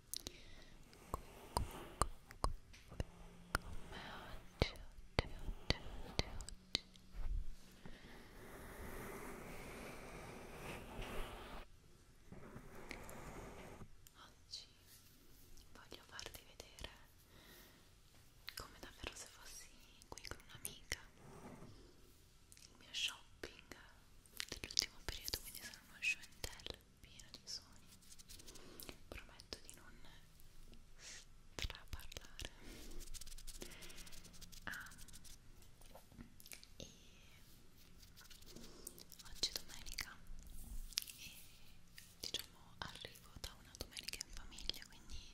come oggi, oggi, oggi, oggi, oggi. Oggi voglio farti vedere come davvero se fossi qui con un'amica il mio shopping dell'ultimo periodo quindi sono uno show and tell pieno di suoni prometto di non straparlare ah, e oggi è domenica e diciamo arrivo da una domenica in famiglia quindi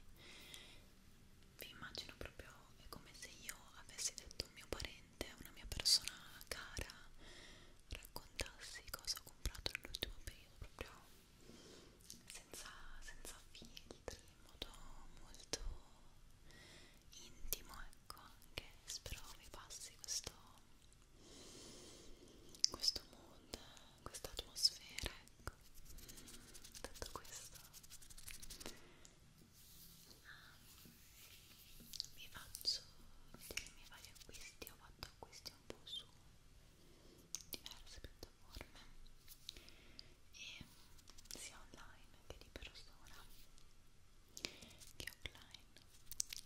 vi immagino proprio è come se io avessi detto un mio parente, una mia persona cara raccontassi cosa ho comprato nell'ultimo periodo proprio senza, senza filtri, in modo molto intimo ecco anche spero vi passi questo questo mood, questa atmosfera ecco tutto questo vi faccio dei miei vari acquisti, ho fatto acquisti un po' su diverse piattaforme e sia online che di persona che offline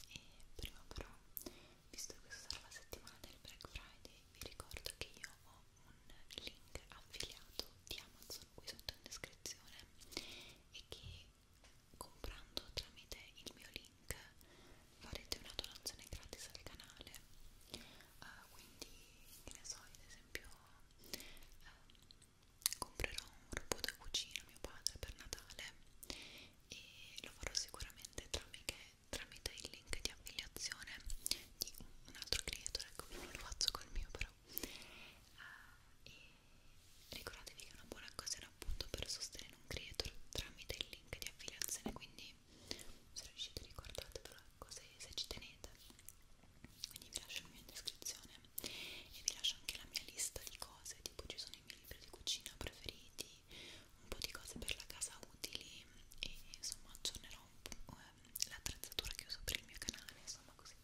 e prima però visto che questa sarà la settimana del Black Friday vi ricordo che io ho un link affiliato di Amazon qui sotto in descrizione e che comprando tramite il mio link farete una donazione gratis al canale uh, quindi che ne so ad esempio uh, comprerò un robot da cucina a mio padre per Natale e lo farò sicuramente tramite tramite il link di affiliazione di un altro creatore, ecco non lo faccio col mio però uh, e ricordatevi che una buona cosa è servono appunto per sostenere un creator tramite il link di affiliazione quindi se riuscite ricordatevelo ecco, se, se ci tenete quindi vi lascio la mia descrizione e vi lascio anche la mia lista di cose tipo ci sono i miei libri di cucina preferiti un po' di cose per la casa utili e insomma aggiornerò un po' ehm, l'attrezzatura che uso per il mio canale insomma così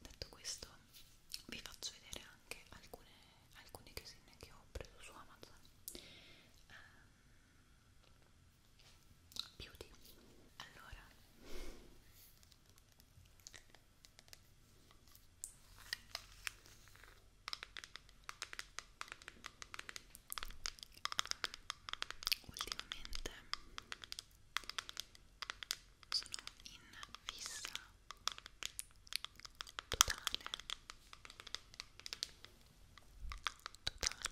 detto questo vi faccio vedere anche alcune alcune casine che ho preso su Amazon um, ehm, beauty allora ultimamente sono in fissa totale totale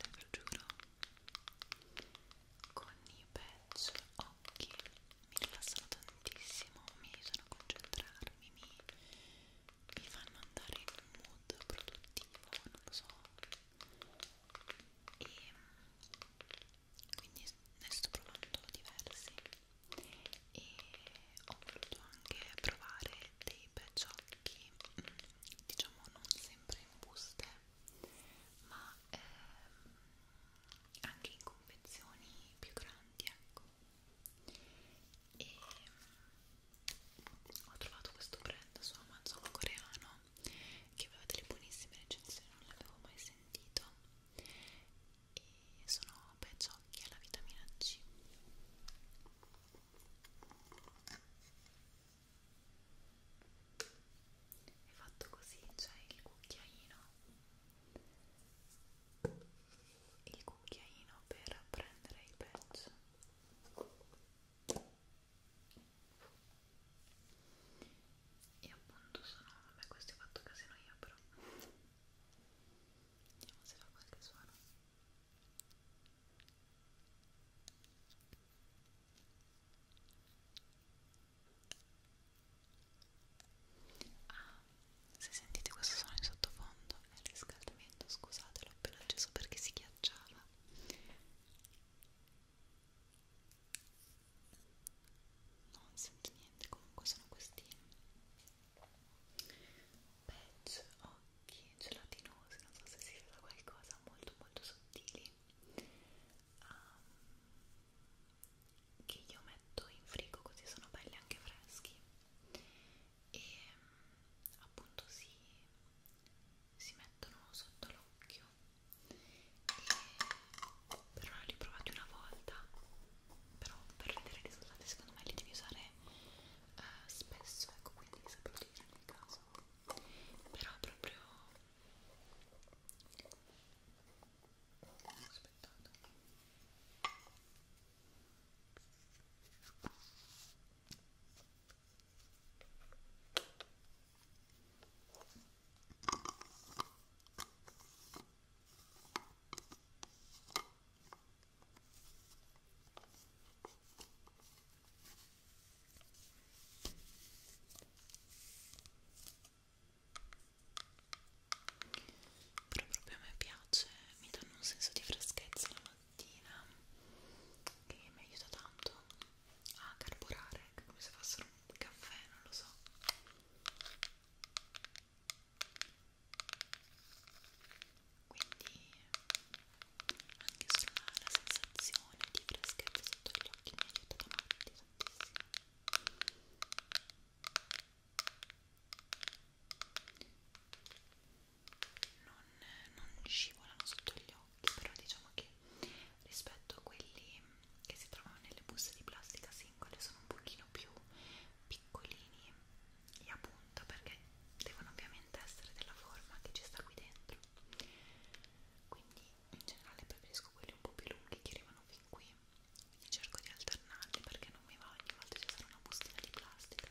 ve lo giuro con i patch occhi mi rilassano tantissimo mi aiutano a concentrarmi mi, mi fanno andare in un mood produttivo non lo so e quindi ne sto provando diversi e ho voluto anche provare dei pecciocchi mm, diciamo non sempre in buste ma ehm, anche in confezioni più grandi ecco e mm, ho trovato questo brand su Amazon coreano che aveva delle buonissime recensioni non l'avevo mai sentito e sono peggiocchi alla vitamina C è fatto così, c'è cioè il cucchiaino il cucchiaino per prendere il patch e appunto sono, vabbè questo è fatto a casa noi però Vediamo se fa qualche suono. Ah, se sentite questo suono in sottofondo è il riscaldamento, scusate, l'ho appena acceso perché si ghiacciava. Non sento niente, comunque sono questi patch occhi gelatinosi, non so se si veda qualcosa, molto molto sottili um, che io metto in frigo così sono belli anche freschi e appunto si, si mettono sotto l'occhio e però li provate una volta però per vedere i risultati secondo me li devi usare eh, spesso, ecco quindi sapete dire nel caso però proprio aspettate ok però proprio a me piace mi danno un senso di freschezza la mattina che mi aiuta tanto a carburare come se fossero un caffè non lo so quindi anche solo la sensazione di freschezza sotto gli occhi mi ha aiutato molto tantissimo non, non scivolano sotto gli occhi però diciamo che rispetto a quelli che si trovano nelle buste di plastica singole sono un pochino più piccolini e a punta perché devono ovviamente essere della forma che ci sta qui dentro quindi in generale preferisco quelli un po' più lunghi che arrivano fin qui quindi cerco di alternarli perché non mi va ogni volta ci sarà una bustina di plastica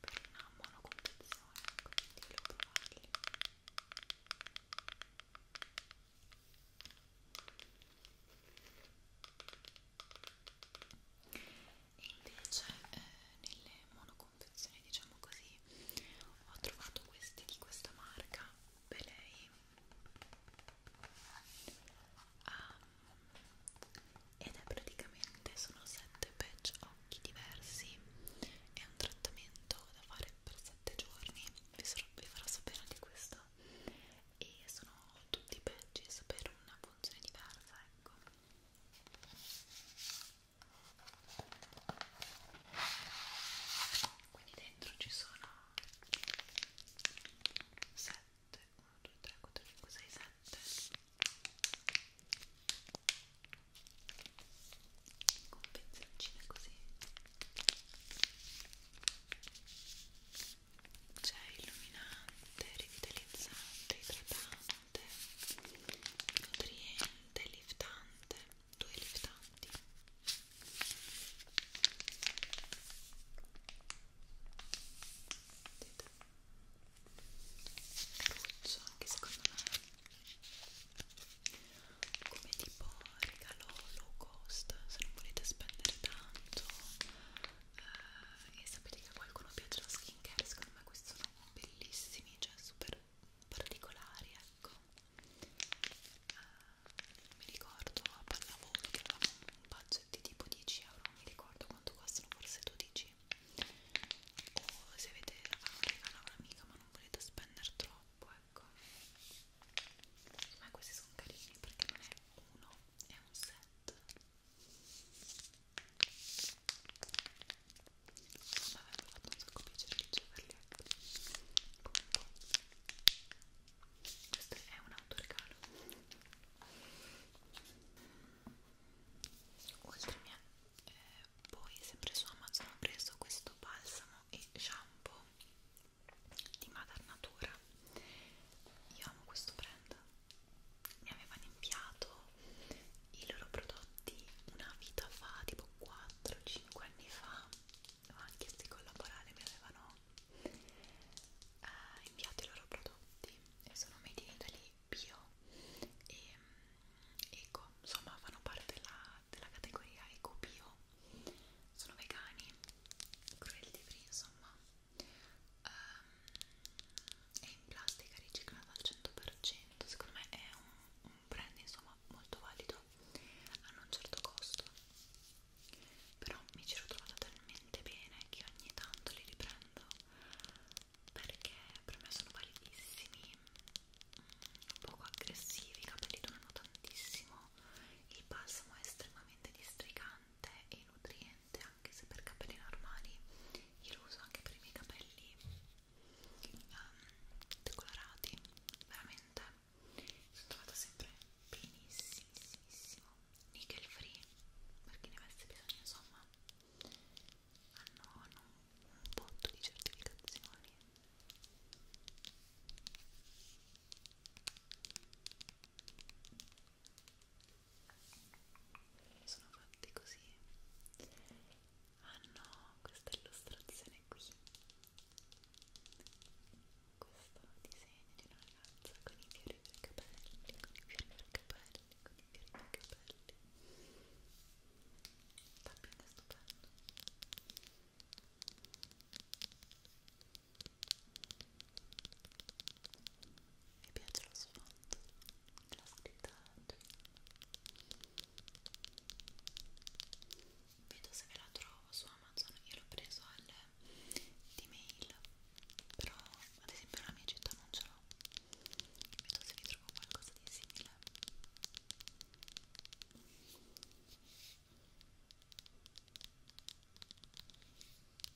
per una monocompensazione quindi volevo provarli e invece eh, nelle monoconfezioni diciamo così ho trovato questi di questa marca Belay um, ed è praticamente sono 7 patch occhi diversi è un trattamento da fare per 7 giorni vi, vi farò sapere anche questo questo e sono tutti badges per una funzione diversa ecco quindi dentro ci sono 7 1 2 3 4 5 6 7 con pezzettine così c'è cioè, illuminante, rivitalizzante, idratante, nutriente, liftante, due liftanti Caruccio, anche secondo me come tipo regalo low cost se non volete spendere tanto eh, e sapete che a qualcuno piace la skincare secondo me questi sono bellissimi cioè super particolari ecco eh, mi ricordo a pallavolo che avevamo un budget di tipo 10 euro non mi ricordo quanto costano forse 12 o se avete un ah, regalo a un'amica ma non volete spendere troppo ecco ma questi sono carini perché non è uno, è un set perfetto mi avrebbe fatto un sacco piacere riceverli ecco comunque questo è un autoregalo oltre mia eh, poi sempre su Amazon ho preso questo balsamo e shampoo di Madar Natura io amo questo brand, mi avevano inviato i loro prodotti una vita fa, tipo 4-5 anni fa, anche chiesto di collaborare, mi avevano eh, inviato i loro prodotti e sono made in Italy bio e mm, eco, insomma fanno parte della, della categoria eco bio sono vegani, cruelty free insomma um, ehm, è in plastica riciclata al 100% secondo me è un, un brand insomma molto valido hanno un certo costo però mi ci sono trovata talmente bene che ogni tanto li riprendo perché per me sono validissimi mm, un poco aggressivi, i capelli durano tantissimo il balsamo è estremamente districante e nutriente niente anche se per capelli normali io lo uso anche per i miei capelli um, decolorati veramente sono trovata sempre benissimissimo nickel free per chi ne avesse bisogno insomma hanno, hanno un botto di certificazioni sono fatti così hanno ah questa illustrazione qui questo disegno di una ragazza con i fiori per capelli con i fiori per capelli con i fiori per capelli tapping è stupendo mi piace lo sfondo, la scritta Vedo se me la trovo su Amazon, io l'ho preso al D-Mail, però ad esempio la mia città non ce l'ho. Vedo se vi trovo qualcosa di simile.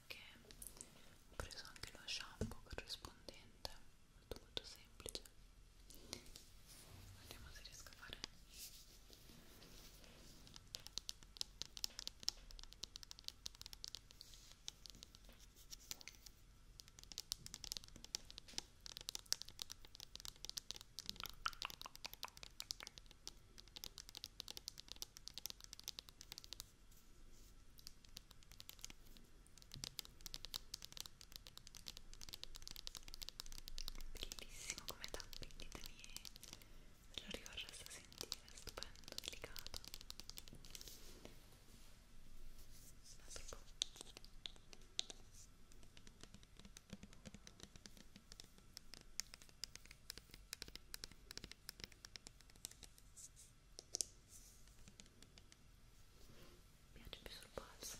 anche ho preso anche lo shampoo corrispondente molto molto semplice vediamo se riesco a fare ok Bellissimo come tappi, ditemi se lo ricorreste a sentire, stupendo, delicato. Un altro po'. Ecco mi piace più sul polso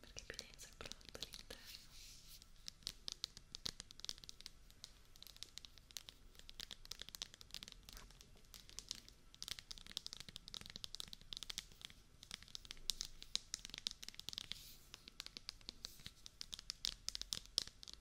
perché più denso il prodotto all'interno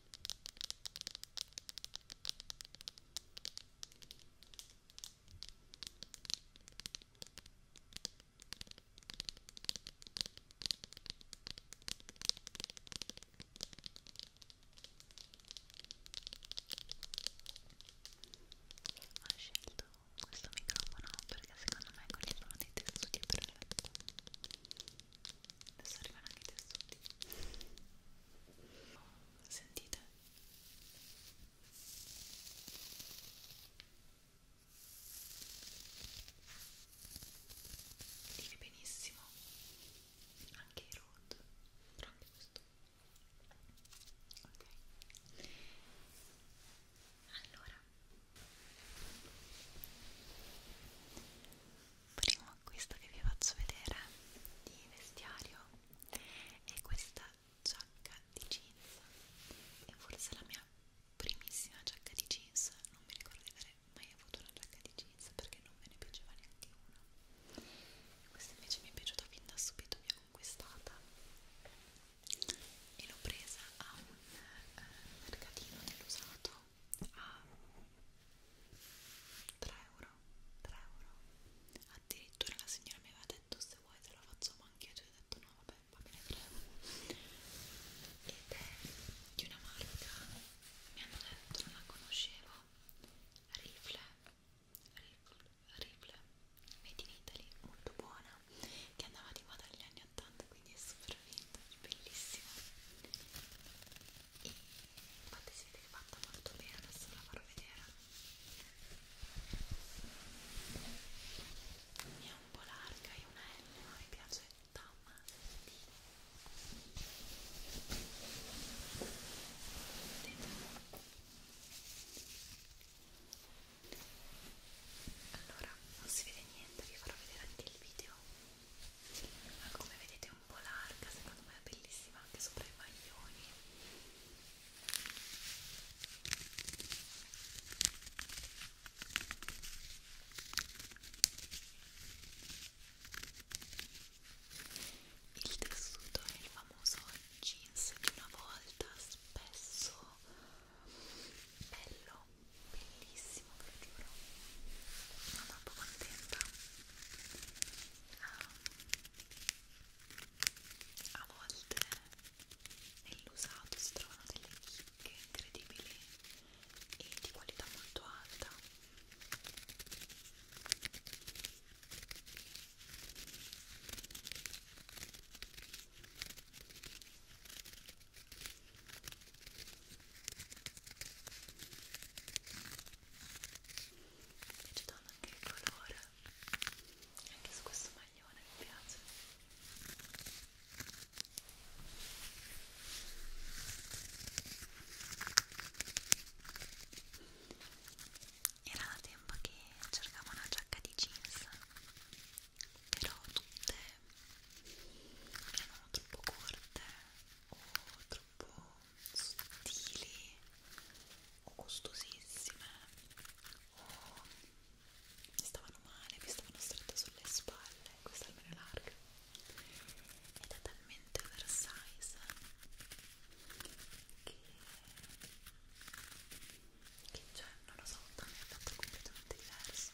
Ho scelto questo microfono perché secondo me quelli sono dei tessuti perfetti adesso arrivano anche i tessuti sentite viene benissimo anche il road tranne questo ok allora primo acquisto che vi faccio vedere di vestiario è questa giacca di jeans e forse la mia primissima giacca di jeans non mi ricordo di aver mai avuto una giacca di jeans perché non me ne piaceva neanche una questa invece mi è piaciuta fin da subito mi ha conquistata e l'ho presa a un eh, mercatino dell'usato a ah. 3 euro 3 euro addirittura la signora mi aveva detto se vuoi te la facciamo anche io ci cioè, ho detto no vabbè va bene 3 euro ed è di una marca mi hanno detto non la conoscevo Rifle Rifle Rifle Made in Italy molto buona che andava di moda negli anni 80 quindi è super vintage bellissima e infatti si vede che fatta molto bene adesso la farò vedere è un po' larga è una L ma mi piace tanto allora non si vede niente vi farò vedere anche il video ma come vedete un po' larga, secondo me è bellissima anche sopra i maglioni. Il tessuto è il famoso jeans di una volta, spesso bello bellissimo ve lo giuro sono troppo contenta ah, a volte nell'usato si trovano delle chicche incredibili e di qualità molto alta mi piace tanto anche il colore anche su questo maglione mi piace era da tempo che cercavo una giacca di jeans però tutte erano troppo corte o troppo sottili o costosissime o mi stavano male, mi stavano strette sulle spalle, questa almeno è larga ed è talmente oversize che, che cioè non lo so, mi è fatto completamente diverso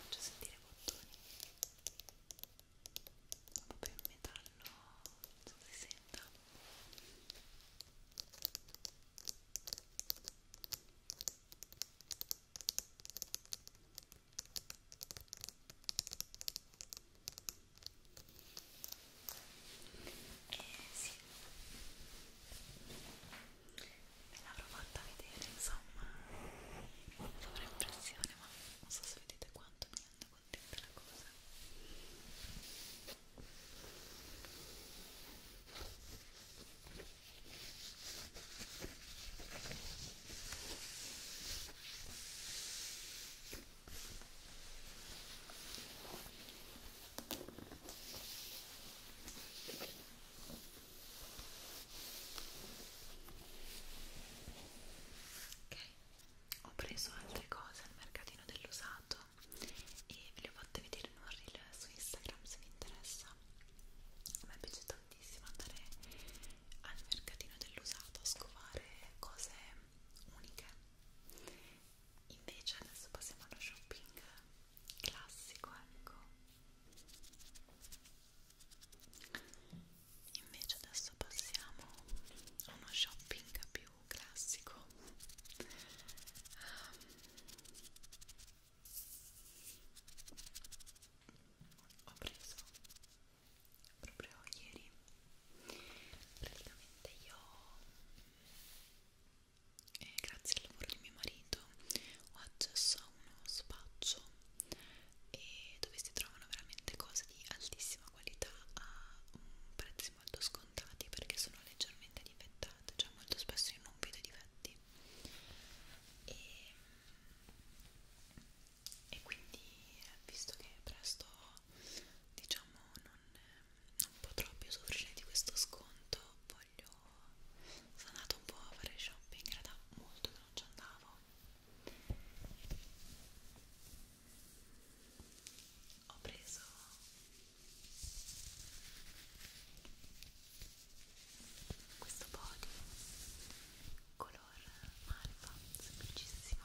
faccio sentire i bottoni proprio in metallo non si senta ok e eh sì me l'avrò fatta vedere insomma avrò impressione ma non so se vedete quanto mi rende contenta la cosa Ok, ho preso altre cose al mercatino dell'usato e ve le ho fatte vedere in un reel su Instagram se vi interessa. A me piace tantissimo andare al mercatino dell'usato a scovare cose uniche invece adesso passiamo allo shopping classico ecco invece adesso passiamo a uno shopping più classico um, ho preso proprio ieri praticamente io eh, grazie al lavoro di mio marito ho accesso a uno spaccio e dove si trovano veramente cose di altissima qualità a prezzi molto scontati perché sono leggermente difettate cioè molto spesso io non vedo i difetti e, e quindi eh, visto che presto diciamo non, ehm, non potrò più soffrire di questo sconto voglio sono andata un po' a fare shopping in realtà molto che non ci andavo ho preso questo body color malva semplicissimo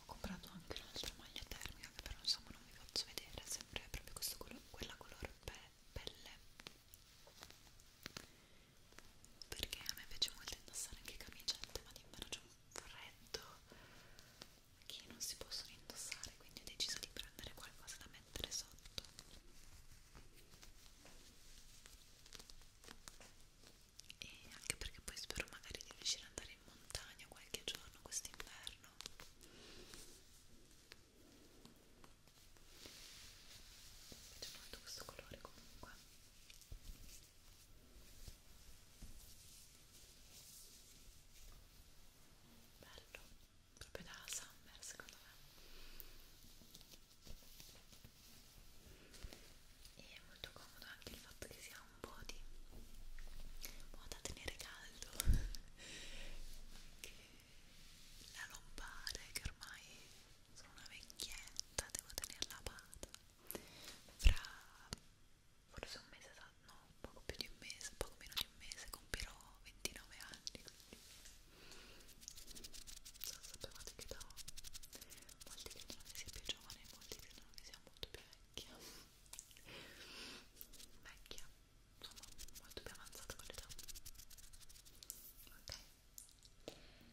Ho comprato anche un'altra maglia termica che però insomma non vi faccio vedere, sempre proprio questo colore, quella color pe pelle perché a me piace molto indossare anche camicette ma d'inverno c'è un freddo che non si possono indossare quindi ho deciso di prendere qualcosa da mettere sotto e anche perché poi spero magari di riuscire ad andare in montagna qualche giorno quest'inverno mi piace molto questo colore comunque bello proprio da summer secondo me e è molto comodo anche il fatto che sia un po' di un po' da tenere caldo che la lombare che ormai sono una vecchietta devo tenerla a bada fra forse un mese no, poco più di un mese, poco meno di un mese compirò 29 anni quindi non sapevate che da molti credono che sia più giovane e molti credono che sia molto più vecchia vecchia, insomma molto più avanzata con l'età ok um,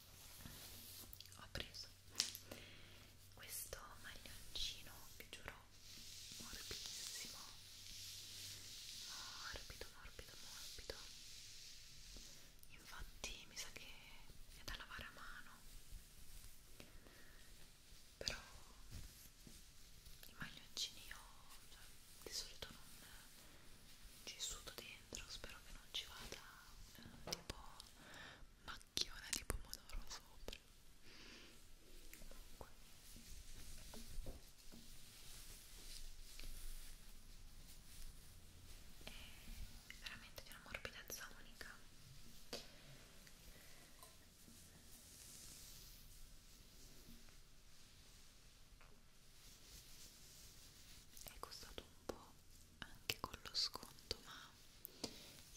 ho preso questo maglioncino vi giuro morbidissimo morbido morbido morbido infatti mi sa che è da lavare a mano però i maglioncini io cioè, di solito non ci sudo dentro spero che non ci vada eh, tipo macchiona di pomodoro sopra comunque è veramente di una morbidezza unica è costato un po' anche con lo sconto ma è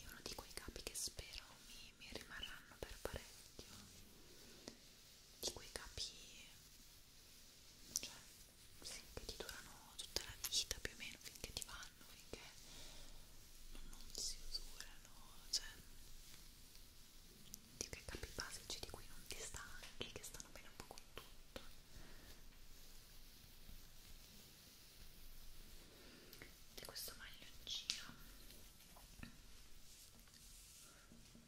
uno di quei capi che spero mi, mi rimarranno per parecchio di quei capi cioè sì, che ti durano tutta la vita più o meno finché ti vanno finché non, non si usurano cioè di quei capi basici di cui non ti stanchi che stanno bene un po' con tutto di questo maglioncino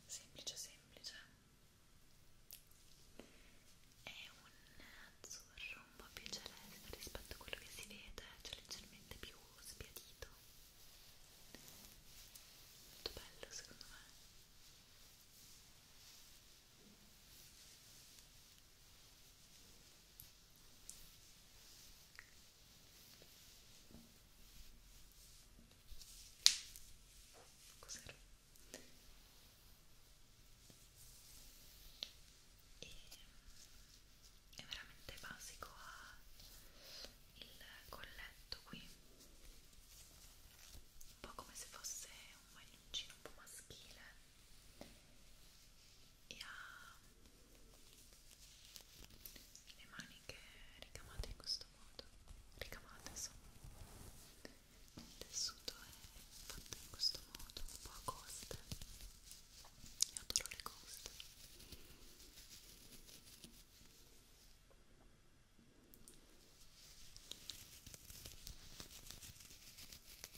semplice semplice è un azzurro un po' più celeste rispetto a quello che si vede cioè leggermente più spiadito molto bello secondo me Cos'era? E è veramente basico ha il colletto qui un po' come se fosse un maglioncino un po' maschile e ha le maniche ricamate in questo modo ricamate insomma il tessuto è fatto in questo modo un po' a coste io adoro le coste e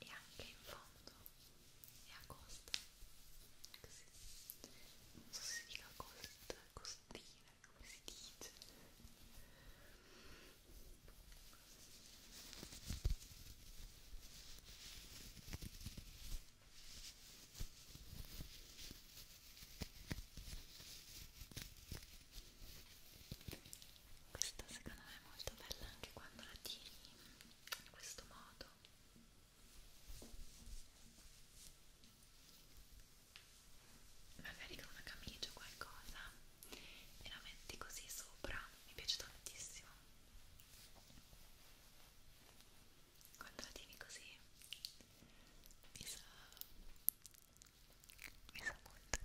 e anche in fondo è a costa così non so se si dica costa, costina come si dice questa secondo me è molto bella anche quando la tiri in questo modo magari con una camicia o qualcosa e la metti così sopra mi piace tantissimo quando la tiri così mi sa mi sa molto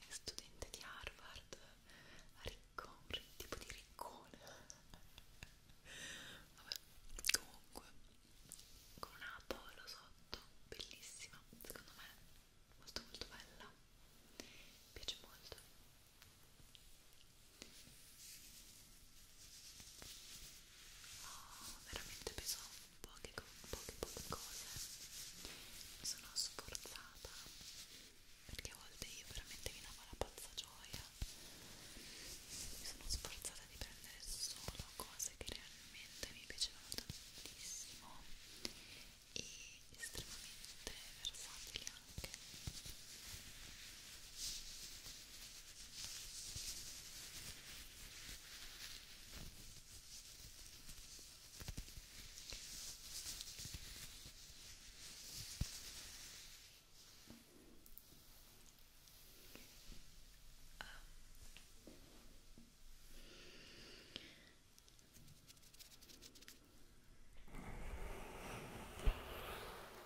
di studente di Harvard ricco, un tipo di riccone vabbè, comunque con una polo sotto bellissima, secondo me molto molto bella mi piace molto ho ah, veramente bisogno poche, poche, poche cose mi sono sforzata perché a volte io veramente mi davo la pazza gioia mi sono sforzata di prendere solo cose che realmente mi piacevano tantissimo e estremamente versatili anche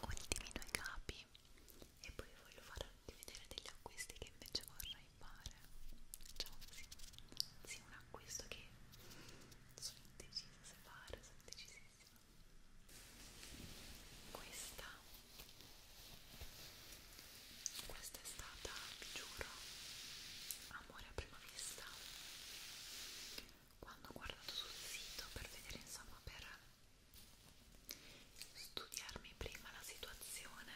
ultimi due capi e poi voglio farvi vedere degli acquisti che invece vorrei mi pare diciamo così sì, un acquisto che sono indecisa se fare, sono indecisissima questa questa è stata, vi giuro amore a prima vista quando ho guardato sul sito per vedere insomma per studiarmi prima la situazione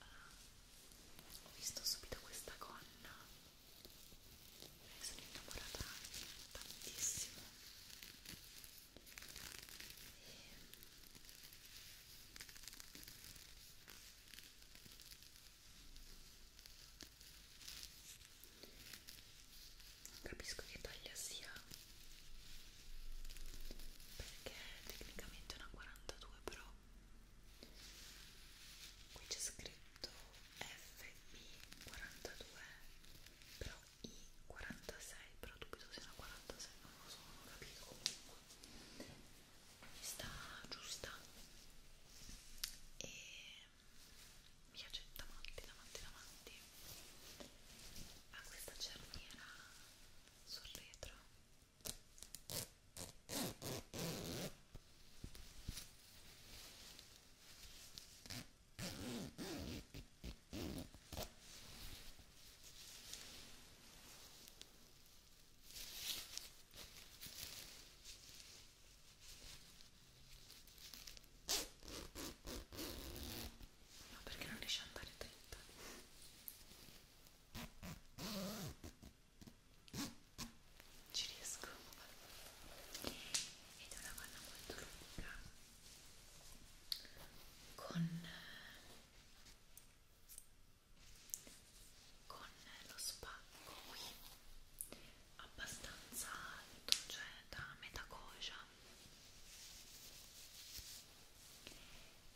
Ah, ho visto subito questa gonna e sono innamorata tantissimo e... non capisco che taglia sia perché tecnicamente è una 42 però qui c'è scritto FB42 però I46 però dubito sia una 46 non lo so non ho capito comunque mi sta giusta e mi piace davanti davanti davanti ha ah, questa cerniera sul retro ma perché non riesce ad andare dritta? Ci riesco ed è una panna molto lunga con, con lo spacco qui abbastanza alto, cioè da metà coscia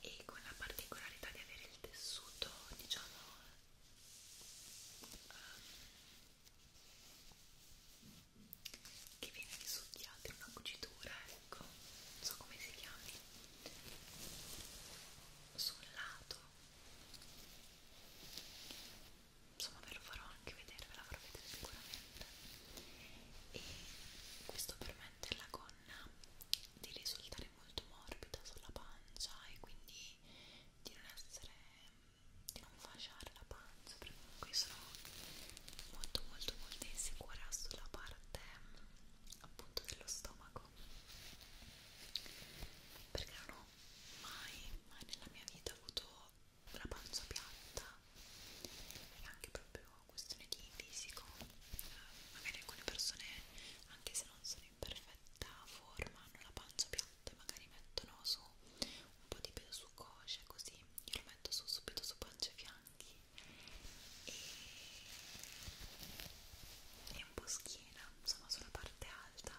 e con la particolarità di avere il tessuto diciamo um, che viene risucchiato in una cucitura ecco non so come si chiami sul lato insomma ve lo farò anche vedere ve la farò vedere sicuramente band e questo permette alla gonna di risultare molto morbida sulla pancia e quindi di non essere di non fasciare la pancia perché comunque sono molto molto molto insicura sulla parte appunto dello stomaco perché non ho mai mai nella mia vita avuto la pancia piatta è anche proprio questione di fisico eh, magari alcune persone anche se non sono in perfetta forma hanno la pancia piatta e magari mettono su un po' di peso su coscia così io lo metto su subito su pancia e fianchi e, e un po' schiena insomma sulla parte alta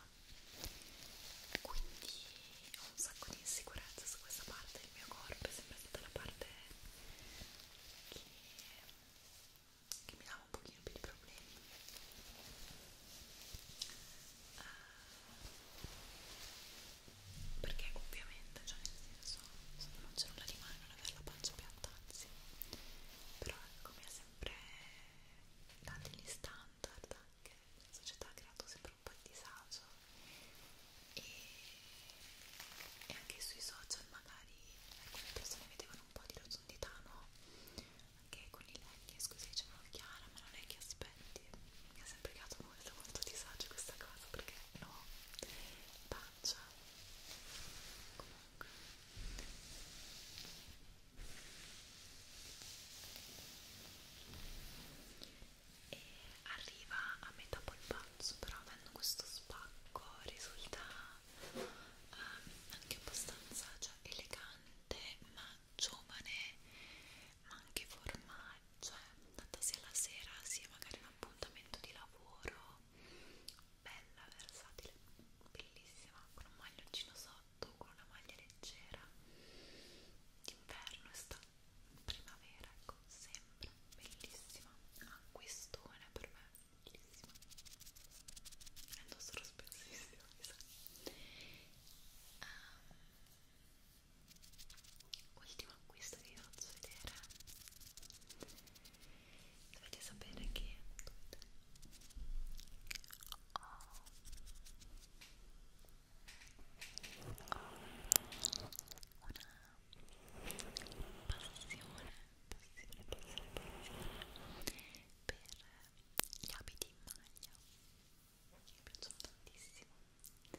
quindi ho un sacco di insicurezza su questa parte del mio corpo è sempre stata la parte che, che mi dava un pochino più di problemi uh, perché ovviamente cioè nel senso se non c'è nulla di male non avere la pancia piatta anzi però ecco mi ha sempre dato gli standard anche la società ha creato sempre un po' di disagio e, e anche sui social magari alcune persone vedevano un po' di rotondità, no? Anche con i legni, scusi, dicevano Chiara, ma non è che aspetti. Mi ha sempre creato molto, molto disagio questa cosa perché no, pancia. Comunque e arriva a metà polpazzo però avendo questo spacco risulta um, anche abbastanza cioè, elegante ma giovane ma anche formale cioè andata sia la sera sia magari un appuntamento di lavoro bella, versatile bellissima con un maglioncino sotto con una maglia leggera d'inverno, estate primavera, ecco, sempre bellissima, acquistone per me, bellissima, la indossero spessissimo, esatto. mi sa. Um, ehm, ultimo acquisto che vi faccio vedere, dovete sapere che ho oh, una passione, passione, passione, passione per gli abiti in maglia mi piacciono tantissimo e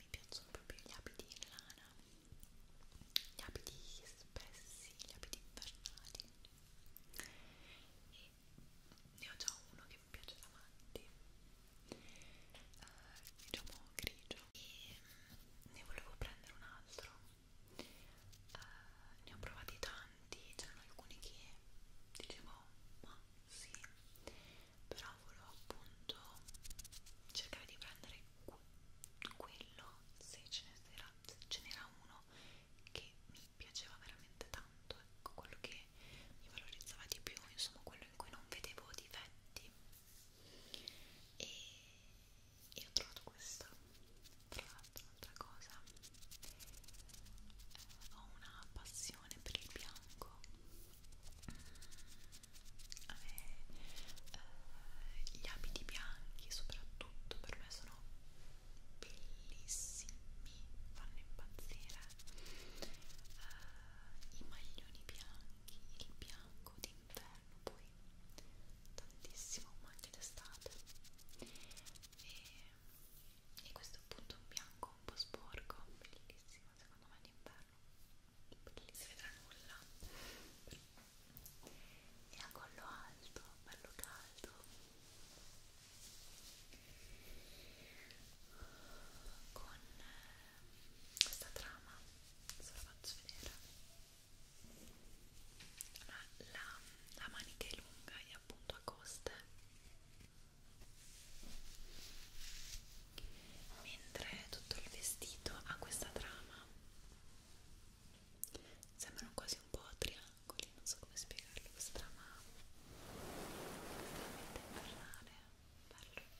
mi piacciono proprio gli abiti in lana gli abiti spessi, gli abiti invernali e ne ho già uno che mi piace davanti eh, diciamo grigio e mm, ne volevo prendere un altro eh, ne ho provati tanti c'erano alcuni che dicevo ma sì però volevo appunto cercare di prendere quello se ce n'era ce uno che mi piaceva veramente tanto ecco quello che mi valorizzava di più insomma quello in cui non vedevo difetti Italy e, e ho trovato questo tra l'altro un'altra cosa eh, ho una passione per il bianco mm, a me eh, gli abiti bianchi soprattutto per me sono bellissimi fanno impazzire eh, i maglioni bianchi il bianco d'inverno poi tantissimo ma anche d'estate e, e questo è appunto un bianco un po' sporco bellissimo secondo me d'inverno non si vedrà nulla e a collo alto bello caldo con questa trama se la faccio vedere allora, la, la manica è lunga e appunto a coste mentre tutto il vestito ha questa trama sembrano quasi un po' triangoli non so come spiegarlo questa trama veramente infernale bello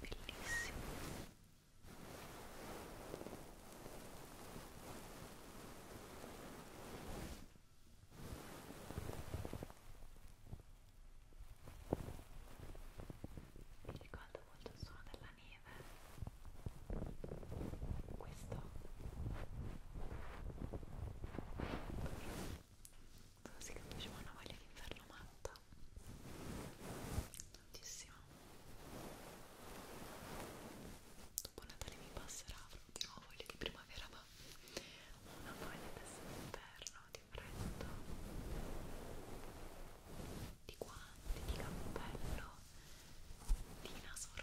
bellissimo mi ricorda molto il suono della neve questo Così che mi diceva una voglia di inferno matta tantissimo dopo Natale mi passerà di nuovo voglia di primavera ma una voglia adesso di inverno di freddo di guanti, di cappello di naso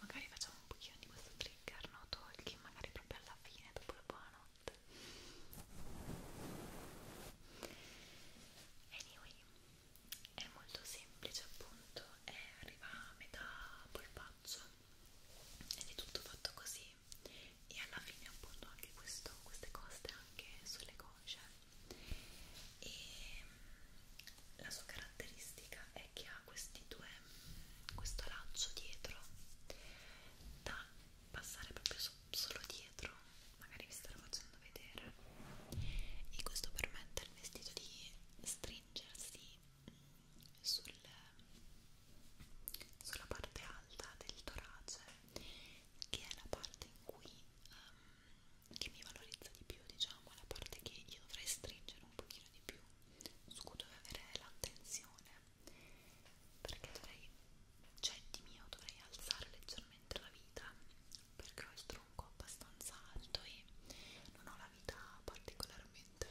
Magari facciamo un pochino di questo trigger, no? Tolki, magari proprio alla fine, dopo la buonanotte anyway è molto semplice appunto è, arriva a metà polpaccio ed è tutto fatto così e alla fine appunto anche questo, queste coste anche sulle cosce e la sua caratteristica è che ha questi due questo laccio dietro da passare proprio so solo dietro magari vi starò facendo vedere e questo permette al vestito di stringersi mm, sul, sulla parte alta del torace che è la parte in cui um, che mi valorizza di più diciamo la parte che io dovrei stringere un pochino di più su cui dove avere l'attenzione perché dovrei cioè di mio dovrei alzare leggermente la vita perché ho il tronco abbastanza alto e non ho la vita particolarmente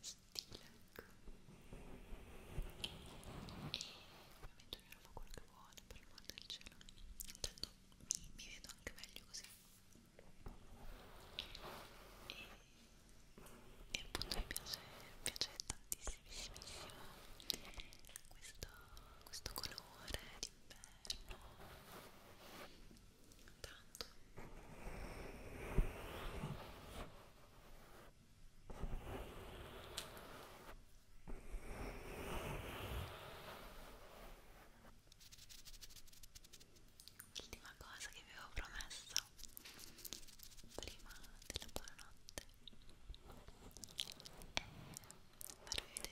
stile e ovviamente ognuno fa quello che vuole per l'amor del cielo intanto mi, mi vedo anche meglio così e, e appunto mi piace, piace tanto tantissimo questo, questo colore d'inverno tanto L'ultima cosa che vi avevo promesso prima della buonanotte farvi vedere l'acquisto che voglio fare in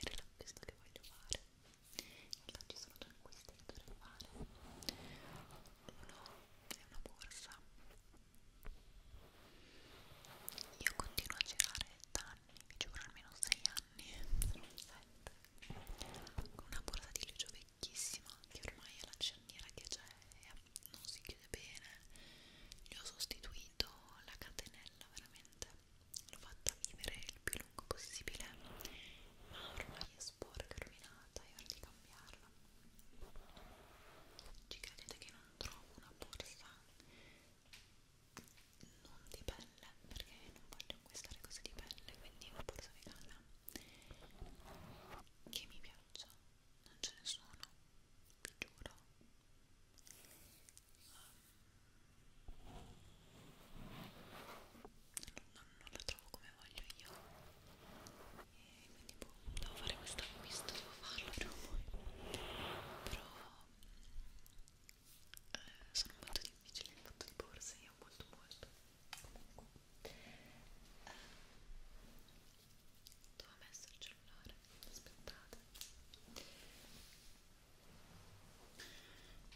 realtà ci sono due acquisti che dovrei fare uno è una borsa io continuo a girare da anni, vi giuro almeno 6 anni, se non 7 con una borsa di legno vecchissima che ormai è la cerniera che c'è è non si chiude bene gli ho sostituito la catenella veramente l'ho fatta vivere il più lungo possibile ma ormai è sporca, rovinata è ora di cambiarla ci credete che non trovo una borsa non di pelle perché non voglio acquistare cose di pelle quindi una borsa vegana che mi piaccia non ce ne sono vi giuro non, non la trovo come voglio io e quindi boh, devo fare questo acquisto, devo farlo prima o poi però eh, sono molto difficili in fatto di borse, io molto molto comunque eh, dove ho messo il cellulare aspettate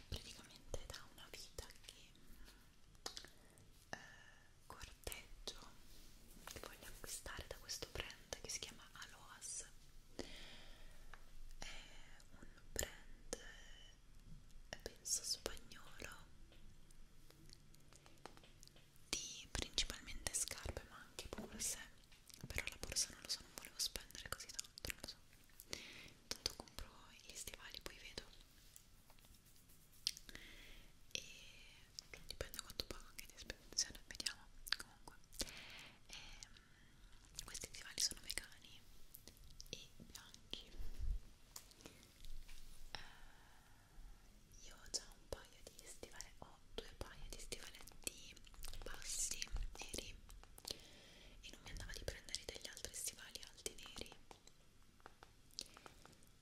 praticamente da una vita che eh, corteggio che voglio acquistare da questo brand che si chiama Aloas è un brand eh, penso spagnolo di principalmente scarpe ma anche borse però la borsa non lo so, non volevo spendere così tanto, non lo so tanto compro gli stivali poi vedo e non dipende quanto pago anche di spedizione, vediamo comunque e, ehm, questi stivali sono vegani e bianchi eh, io ho già un paio di stivali, ho oh, ho due paia di stivaletti bassi neri e non mi andava di prendere degli altri stivali alti neri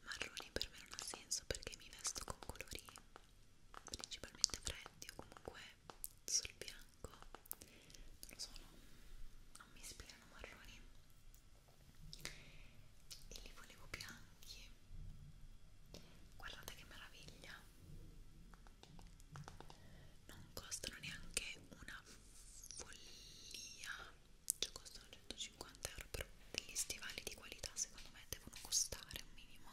marroni per me non ha senso perché mi vesto con colori principalmente freddi o comunque sul bianco non lo so, non, non mi ispirano marroni e li volevo bianchi guardate che meraviglia non costano neanche una follia cioè costano 150 euro però degli stivali di qualità secondo me devono costare un minimo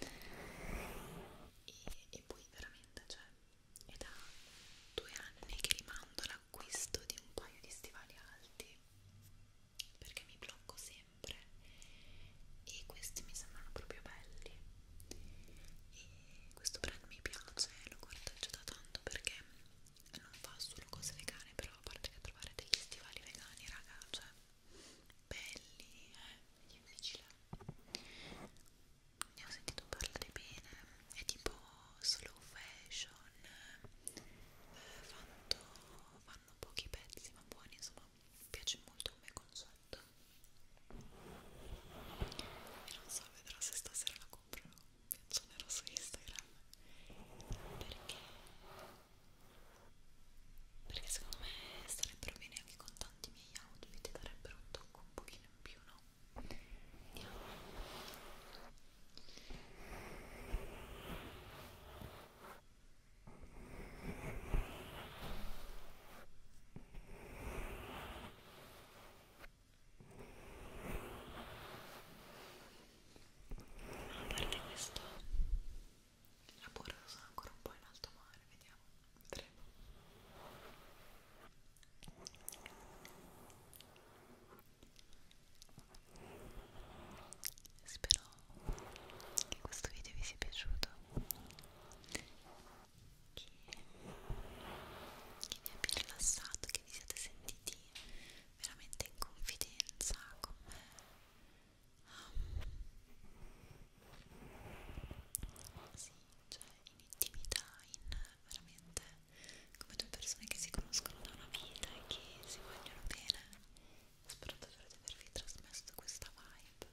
e, e poi veramente cioè è da due anni che rimando l'acquisto di un paio di stivali alti perché mi blocco sempre sempre e questi mi sembrano proprio belli e questo brand mi piace, lo corteggio da tanto perché non fa solo cose vegane però a parte che trovare degli stivali vegani raga, cioè belli, eh, è difficile ne ho sentito parlare bene è tipo slow fashion eh, fatto, fanno pochi pezzi ma buoni insomma mi piace molto come concetto e non so, vedrò se stasera la comprerò mi accionerò su Instagram perché perché secondo me starebbero bene anche con tanti miei outfit darebbero un tocco un pochino in più, no? vediamo a parte questo, la burra sono ancora un po' in alto mare, vediamo, vedremo. Spero che questo video vi sia piaciuto che, che vi abbia rilassato, che vi siate sentiti veramente in confidenza con me um, sì, cioè in intimità, in veramente come due persone che si conoscono da una vita e che si vogliono bene spero davvero di avervi trasmesso questa vibe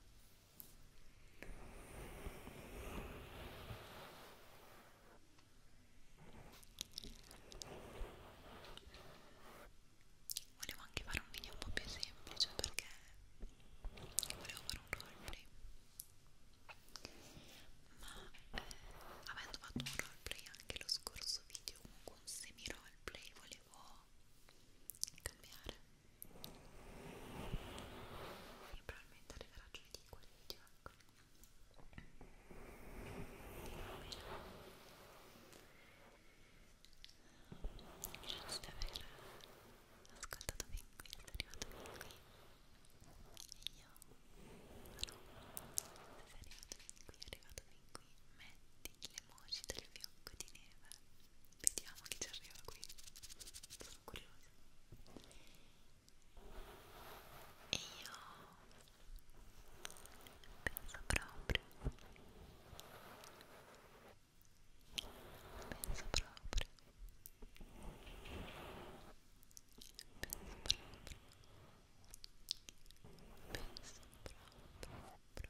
volevo anche fare un video un po' più semplice perché volevo fare un roleplay ma eh, avendo fatto un roleplay anche lo scorso video comunque un semi roleplay volevo cambiare e probabilmente arriverà giovedì quel video ecco grazie di aver ascoltato fin qui sono arrivato fin qui e io no se sei arrivato fin qui è arrivato fin qui metto l'emoji del fiocco di neve vediamo chi ci arriva qui sono curiosa e io penso proprio penso proprio penso proprio penso proprio proprio